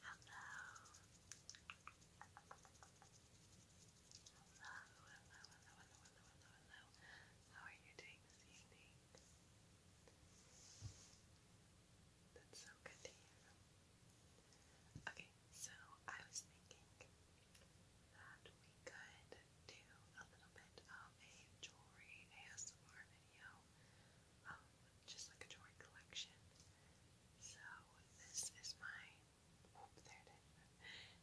Hello. Hello, hello, hello, hello, hello, How are you doing this evening? That's so good to hear. Okay, so I was thinking that we could do a little bit of a jewelry ASMR video. Um, just like a toy collection. So this is my, there it is.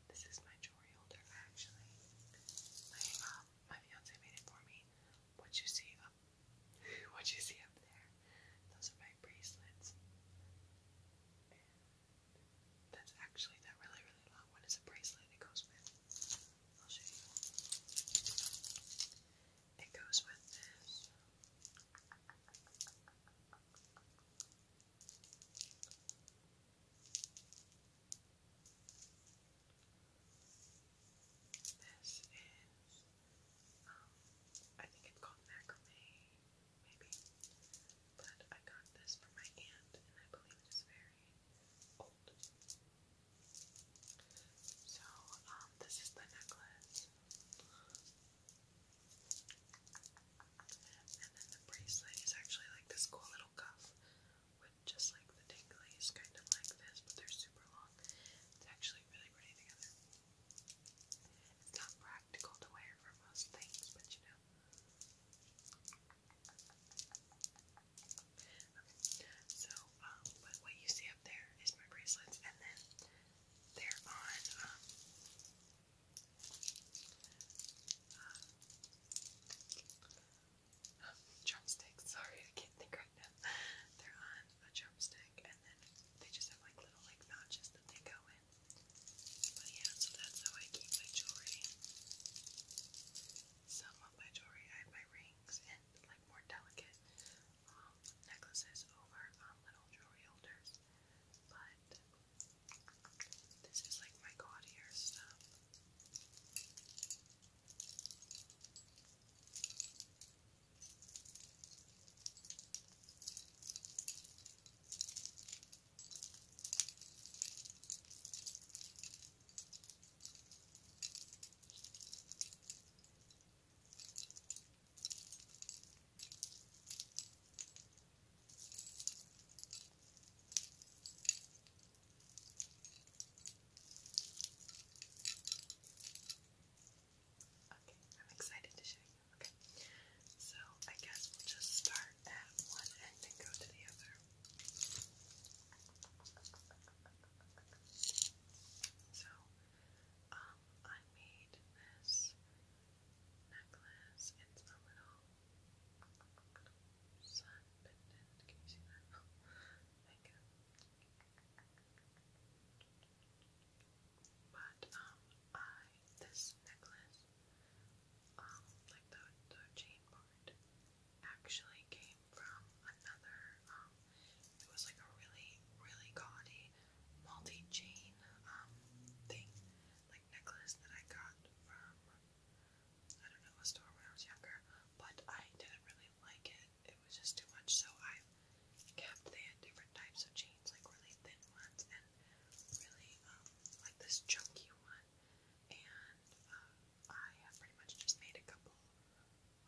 This is my jewelry holder actually. My um, my fiance made it for me. What you see up, what you see up there, those are my bracelets. that's actually that really really long one is a bracelet. It goes with it goes with this. This is, um, I think it's called macrame, maybe. But I got this from my aunt, and I believe it is very old. So, um, this is the necklace. And then the bracelet is actually like this cool little cuff with just like the dangleys, kind of like this, but they're super long. It's actually really pretty together. It's not practical to wear for most things, but you know. Okay, so um, but what you see up there is my bracelets, and then they're on um, uh, Sorry, I can't think right now. They're on a drumstick, and then they just have like little like notches that they go in. But yeah, so that's how I keep my jewelry. Some of my jewelry, I have my rings delicate, like more delicate um, necklaces over um, little jewelry holders. But this is like my gaudier stuff. Okay, I'm excited to show you. Okay, so I guess we'll just start at one end and go to the other. So, um, I made this necklace. It's a little sun pendant. Can you see Thank you. But um, I this necklace, um, like the the chain part, actually came from another, um, it was like a really, really gaudy multi-chain, um, thing, like necklace that I got from, I don't know, a store when I was younger, but I didn't really like it, it was just too much, so I've kept, they had different types of chains, like really thin ones, and really, um, like this chunky one, and um, I have pretty much just made a couple,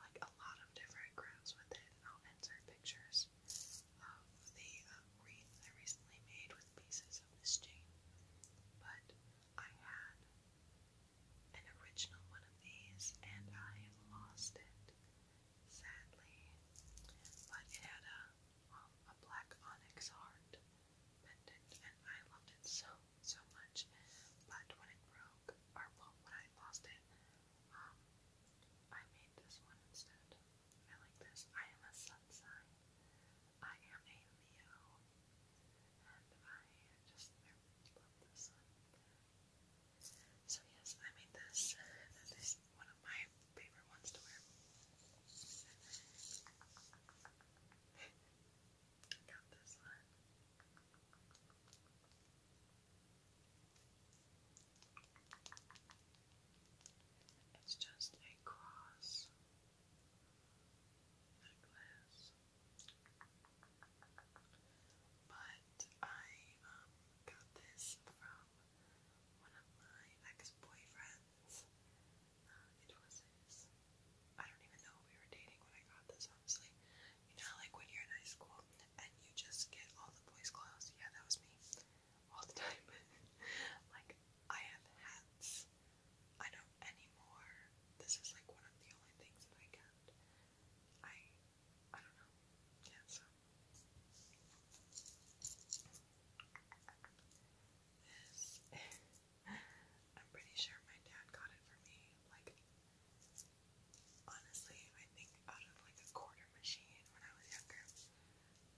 like a lot of different crafts with it, I'll insert pictures of the uh, I recently made with pieces of this chain. But I had an original one of these, and I lost it, sadly. But it had a, um, a black onyx heart I loved it so, so much. But when it broke, or when I lost it, um, I made this one instead. I like this. I am a sun sign. I am a Leo, and I just love the sun. So yes, I made this. This is one of my favorite ones to wear. Got this It's just a cross necklace. But I um, got this from one of my ex boyfriends. Uh, it was his. I don't even know we were dating when I got this, honestly. You know, like when you're in high school and you just get all the boys' clothes. Yeah, that was me. All the time. like, I have hats. I don't anymore. This is like one of the only things that I kept. I. I don't know. Yeah, so. I'm pretty sure my dad got it for me. Like, honestly, I think out of like a quarter machine when I was younger.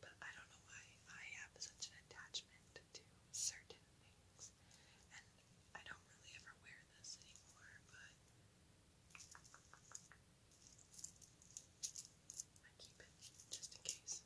But I don't know why I have such an attachment to certain things. And I don't really ever wear this anymore, but I keep it just in case.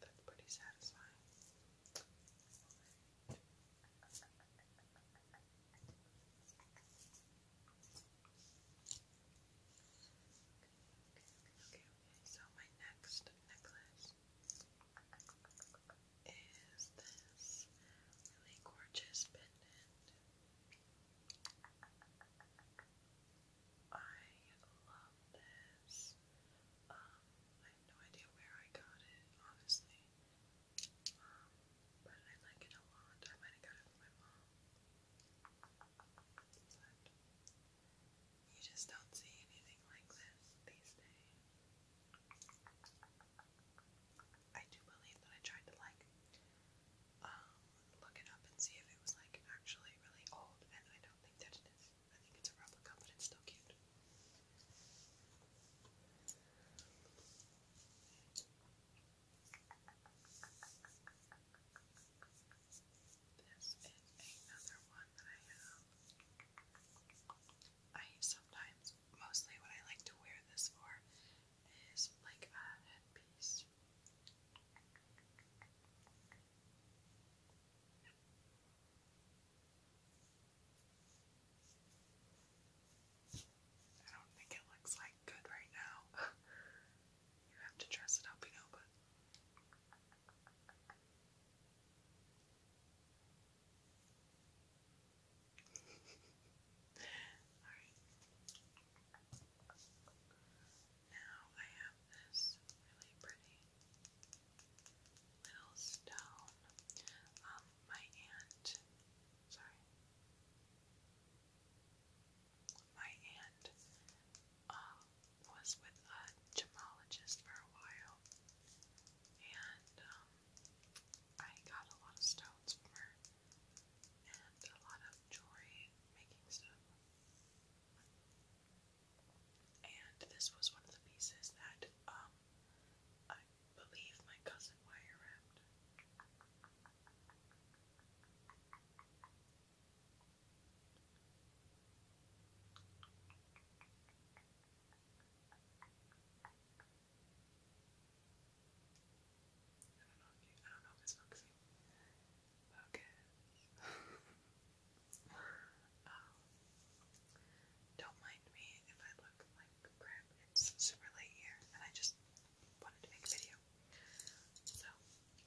That's pretty satisfying. Okay, okay, so my next necklace is this really gorgeous pendant. I love this. Um, I have no idea where I got it, honestly. Um, but I like it a lot. I might have got it from my mom. But you just don't see anything like this these days. I do believe that I tried to like um look it up and see if it was like actually really old and I don't think that it is. I think it's a replica but it's still cute. This is another one that I have. I sometimes, mostly what I like to wear this for is like a headpiece. I don't think it looks like good right now. You have to dress it up, you know, but. Now I have this really pretty little stone. Um, my aunt, sorry, my aunt um, was with a gemologist for a while, and um, I got a lot of stones from her and a lot of jewelry making stuff. And this was one of the pieces that um, I believe my cousin wire wrapped. I do don't mind me if I look like crap. It's super late here, and I just wanted to make a video. So,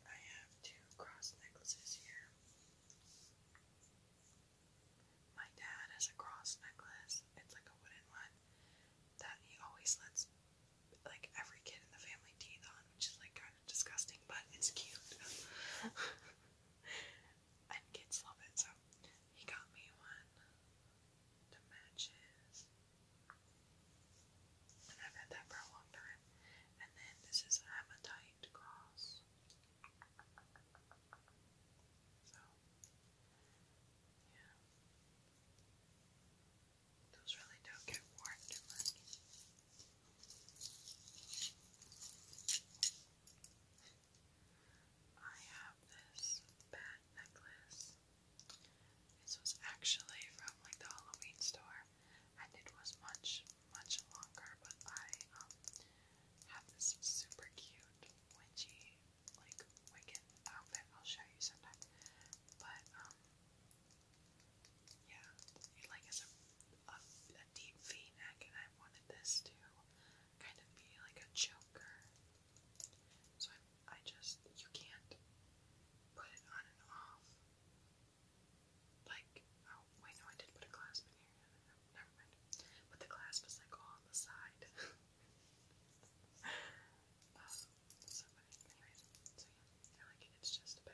I have two cross necklaces here. My dad has a cross necklace. It's like a wooden one that he always lets like every kid in the family teeth on, which is like kind of disgusting, but it's cute. and kids love it, so he got me one to match I've had that for a long time. And then this is Amatite Cross. So, yeah. Those really don't get worn too much. I have this bat necklace. This was actually from like the Halloween store, and it was much, much longer. But I um have this super cute witchy like Wiccan outfit. I'll show you sometime. But um, yeah, it like is a a, a deep V neck, and I wanted this to kind of be like a choker so I, just, you can't put it on and off. Like, oh, wait, no, I did put a clasp in here. never mind. But the clasp is like on the side. Um, so, anyways, so yeah, I like it. It's just a bit.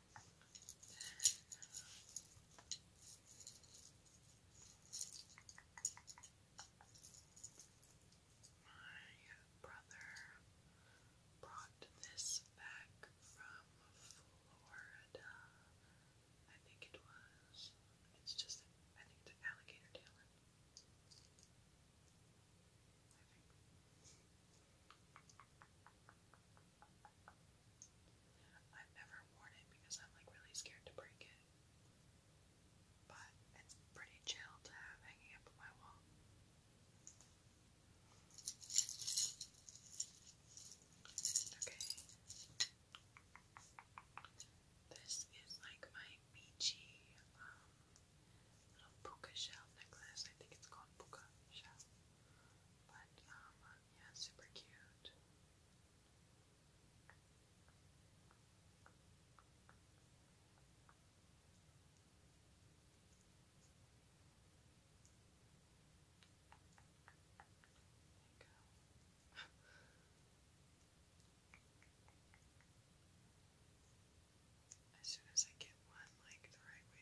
My brother brought this back from Florida. I think it was. It's just, I think it's an alligator tailing. I've never worn it because I'm like really scared to break it. But it's pretty chill to have hanging up on my wall. Okay. This is like my beachy um, little shell necklace. I think it's called puka shell. But um, yeah, super cute. There you go. As soon as I get one like the right way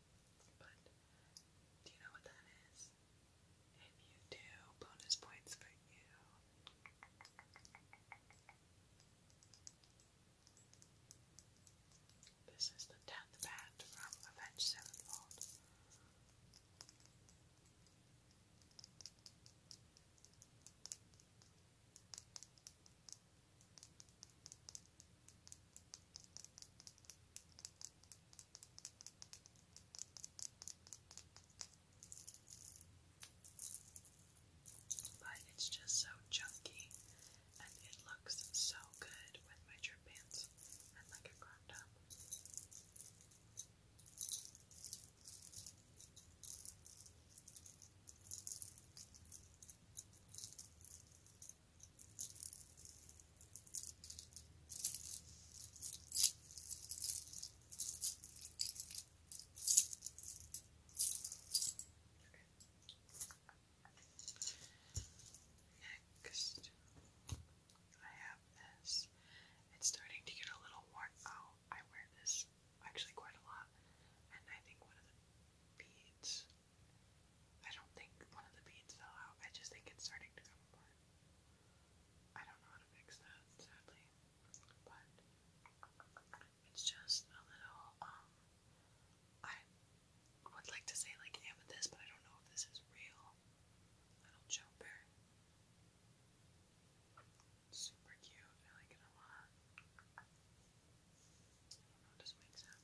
But do you know what that is? If you do, bonus points for you. This is the death bat from Avenged Sevenfold. Now but it's just so chunky and it looks so good with my drip pants and like a crop top. Next, I have this. It's starting to get a little warm. out. I wear this actually quite a lot, and I think one of the beads I don't think one of the beads fell out. I just think it's starting to come apart. I don't know how to fix that, sadly. But it's just a little, um, I would like to say like amethyst, but I don't know if this is real. Little jumper. Super cute. I like it a lot. doesn't make sense.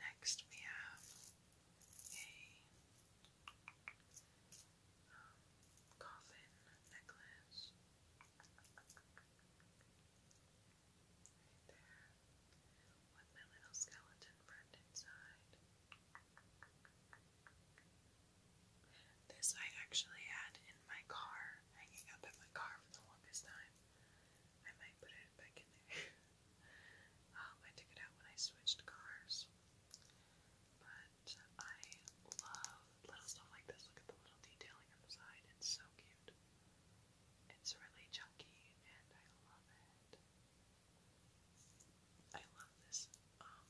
Next, we have a um, coffin necklace. With my little skeleton friend inside. This I actually had in my car, hanging up in my car for the longest time. I might put it back in there. Um, I took it out when I switched cars. But I love little stuff like this. Look at the little detailing on It's so cute. It's really chunky and I love it. I love this um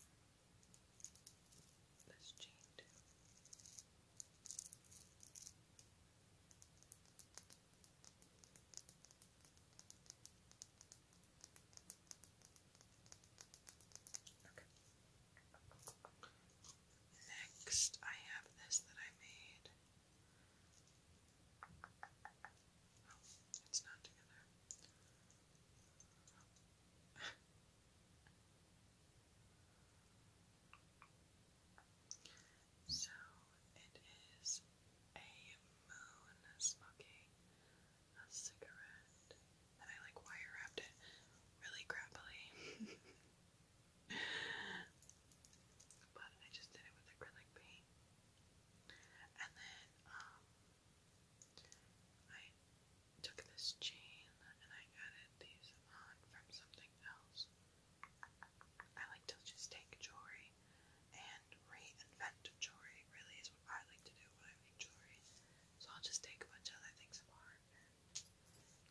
this chain too. Okay. Next, I have this that I made. it's not together. so, it is a moon smoking a cigarette. And I like wire wrapped it really crappily. but I just did it with acrylic paint. And then um, I took this chain and I added these on from something else. I like to just take jewelry and reinvent jewelry, really, is what I like to do when I make jewelry. So I'll just take a bunch of other things apart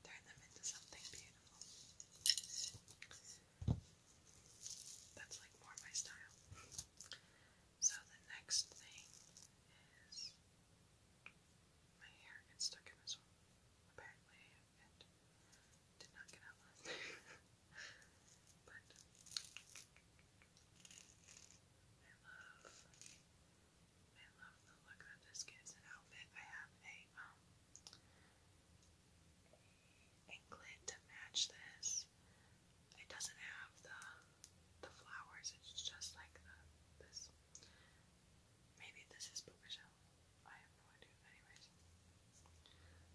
turn them into something beautiful. That's like more my style. So the next thing is my hair gets stuck in this one. Apparently did not get out last night. but I love I love the look that this gives an outfit. I have a anklet to match this. It doesn't have the the flowers, it's just like this maybe this is bookshelf. I have no idea anyways.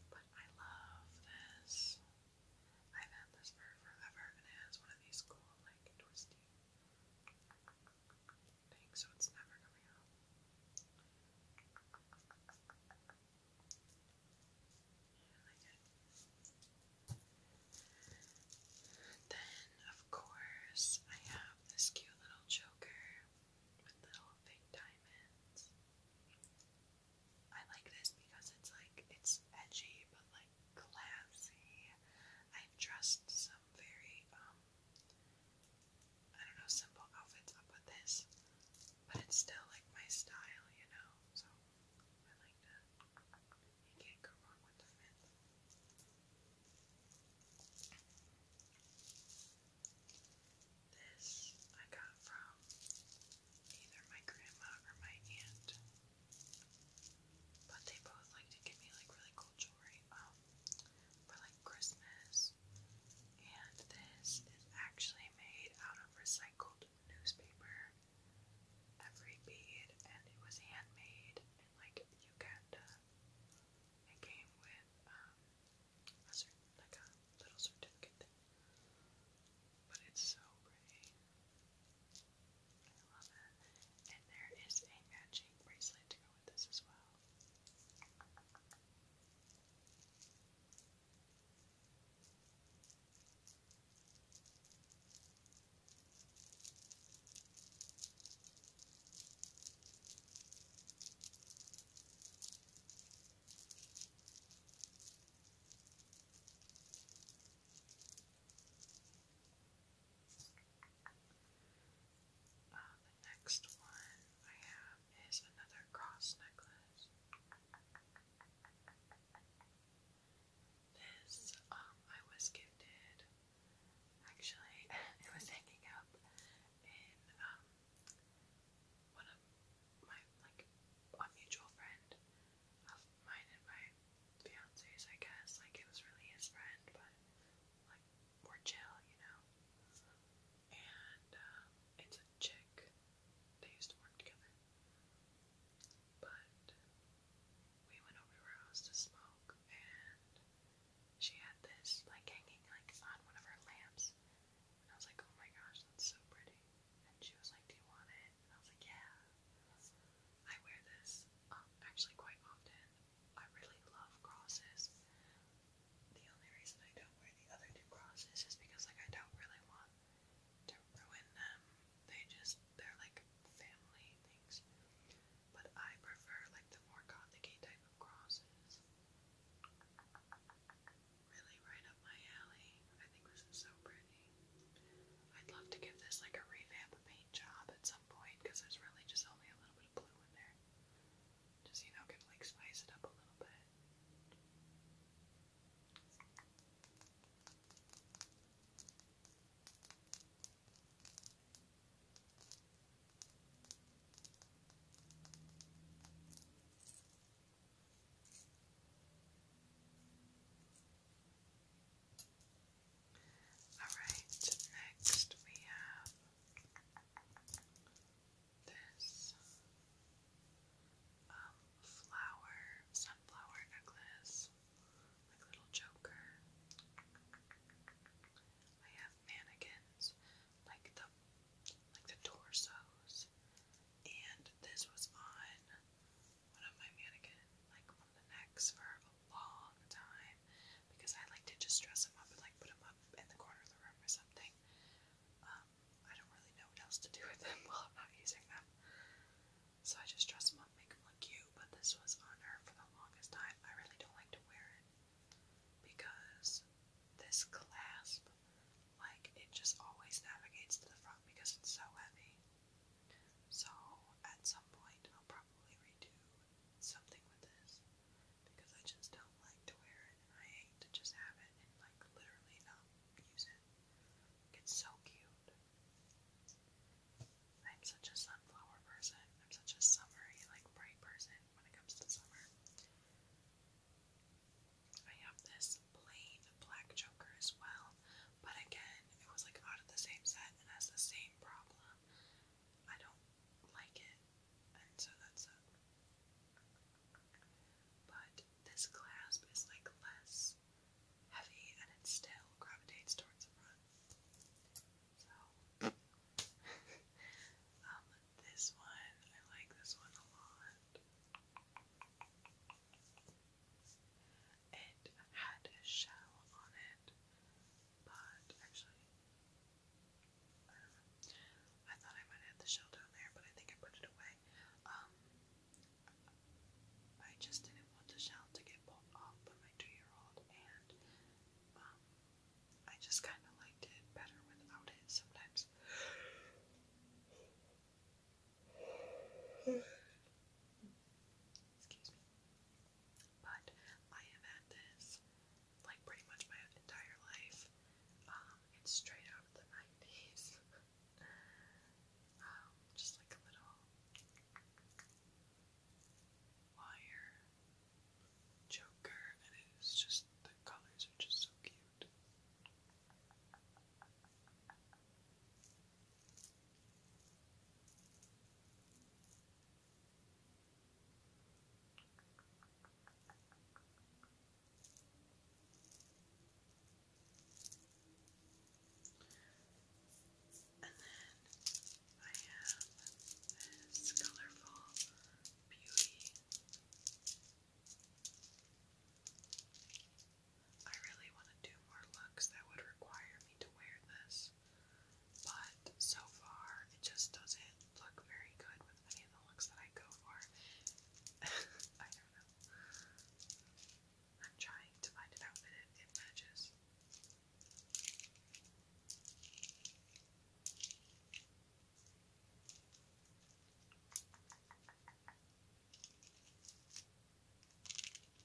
But I love this. I've had this for forever and it has one of these cool like twisty so it's never coming out. Then, of course, I have this cute little choker with little big diamonds. I like this because it's like it's edgy but like classy. I've dressed some very um I don't know, simple outfits up with this, but it's still like my style, you know, so I like that. You can't go wrong with the This I got from either my grandma or my aunt, but they both like to give me like really cool jewelry. Um, for like Christmas. And this is actually made out of recycled newspaper. Every bead, and it was handmade in like Uganda. It came with um, a little certificate But it's so pretty. I love it. And there is a matching bracelet to go with this as well. Uh, the next one I have is another cross necklace. This um, I was gifted. Actually, it was hanging up in um, one of my like a mutual friend of mine and my fiance's. I guess like it was really his friend, but like more chill, you know. And um, it's a chick. They used to work together. But we went over to her house to smoke, and she had this like hanging like on one of her lamps. And I was like, oh my gosh, that's so pretty. And she was like, do you want it? And I was like, yeah. I wear this um, actually quite often. I really love crosses. The only reason I don't wear the other two crosses is because like I don't really want to ruin them. They just they're like family things. But I prefer like the more gothic type of crosses. Really right up my alley. I think this is so pretty. I'd love to give this like a revamp job at some point because there's really just only a little bit of blue in there. Just, you know, can like spice it up a little bit. Alright, next we have this um, flower, sunflower necklace, like little joker. I have mannequins, like the like the torsos, and this was on one of my mannequin, like on the necks for a long time because I like to just dress them up and like put them up in the corner of the room or something. Um, I don't really know what else to do with them while I'm not using them. So I just dress them up, make them look cute, but this was on her for the longest time. I really don't like to wear it because this clasp, like, it just always navigates to the front because it's so heavy. So at some point I'll probably redo something with this because I just don't like to wear it I hate to just have it and like literally not use it. It's so cute. I'm such a sunflower person. I'm such a summery, like bright person when it comes to summer. I have this plain black choker as well. But again, it was like out of the same set and has the same problem. I don't like it, and so that's it. But this clasp is like less heavy and it still gravitates towards the front. So, um, this one, I like this one a lot. It had a shell on it, but actually, I don't know. I thought I might have the shell down there, but I think I put it away. Um, I just didn't want the shell to get pulled off by my two-year-old, and um, I just kind of liked it better without it sometimes. Excuse me. But I have had this like pretty much my entire life. Um, it's straight out of the 90s. Um, just like a little wire choker, and it's just the colors are just so cute. And then I have this colorful beauty. I really want to do more looks that would require me to wear this, but so far it just doesn't look very good with any of the looks that I go for. I don't know. I'm trying to find an outfit that it matches. I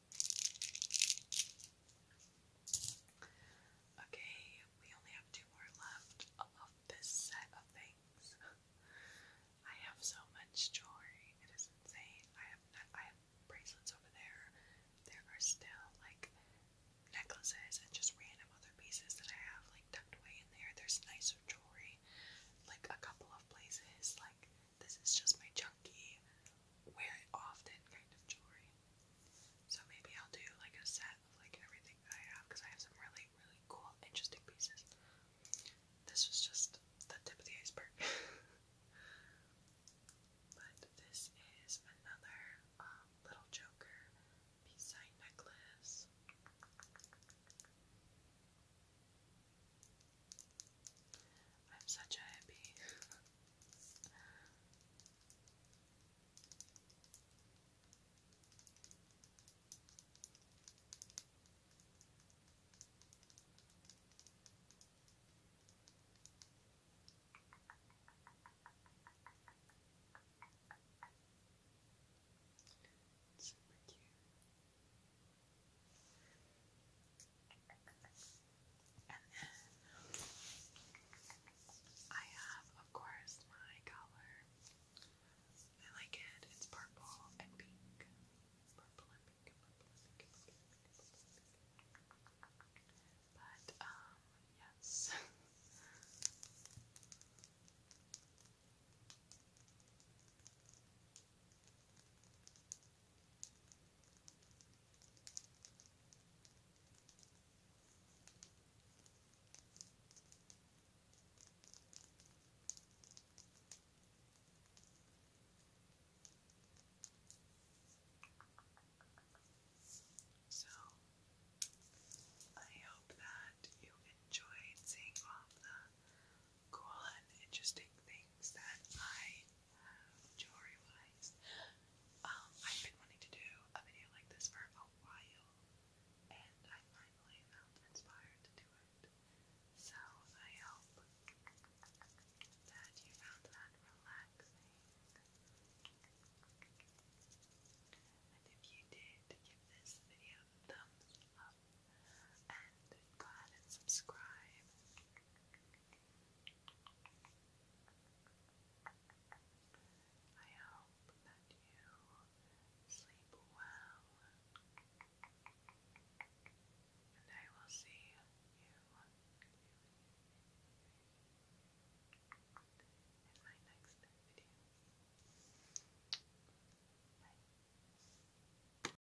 Okay, we only have two more left of this set of things. I have so much jewelry; it is insane. I have I have bracelets over there. There are still like necklaces and just random other pieces that I have like tucked away in there. There's nicer jewelry, like a couple of places. Like this is just my chunky wear often kind of jewelry. So maybe I'll do like a set of like everything that I have because I have some really, really cool, interesting pieces. This was just the tip of the iceberg. but this is another um, little Joker peace sign necklace. I'm such a hippie. Super cute. And then I have, of course, my collar. I like it. It's purple and pink. Purple and pink But, um, yes. So, I hope that you enjoyed seeing all the cool and interesting things that I jewelry wise. Um, I've been wanting to do a video like this for a while, and I finally felt inspired to do it. So I hope that you found that relaxing. And if you did, give this video a thumbs up go ahead and subscribe. I hope that you sleep well. And I will see you in my next video. Bye.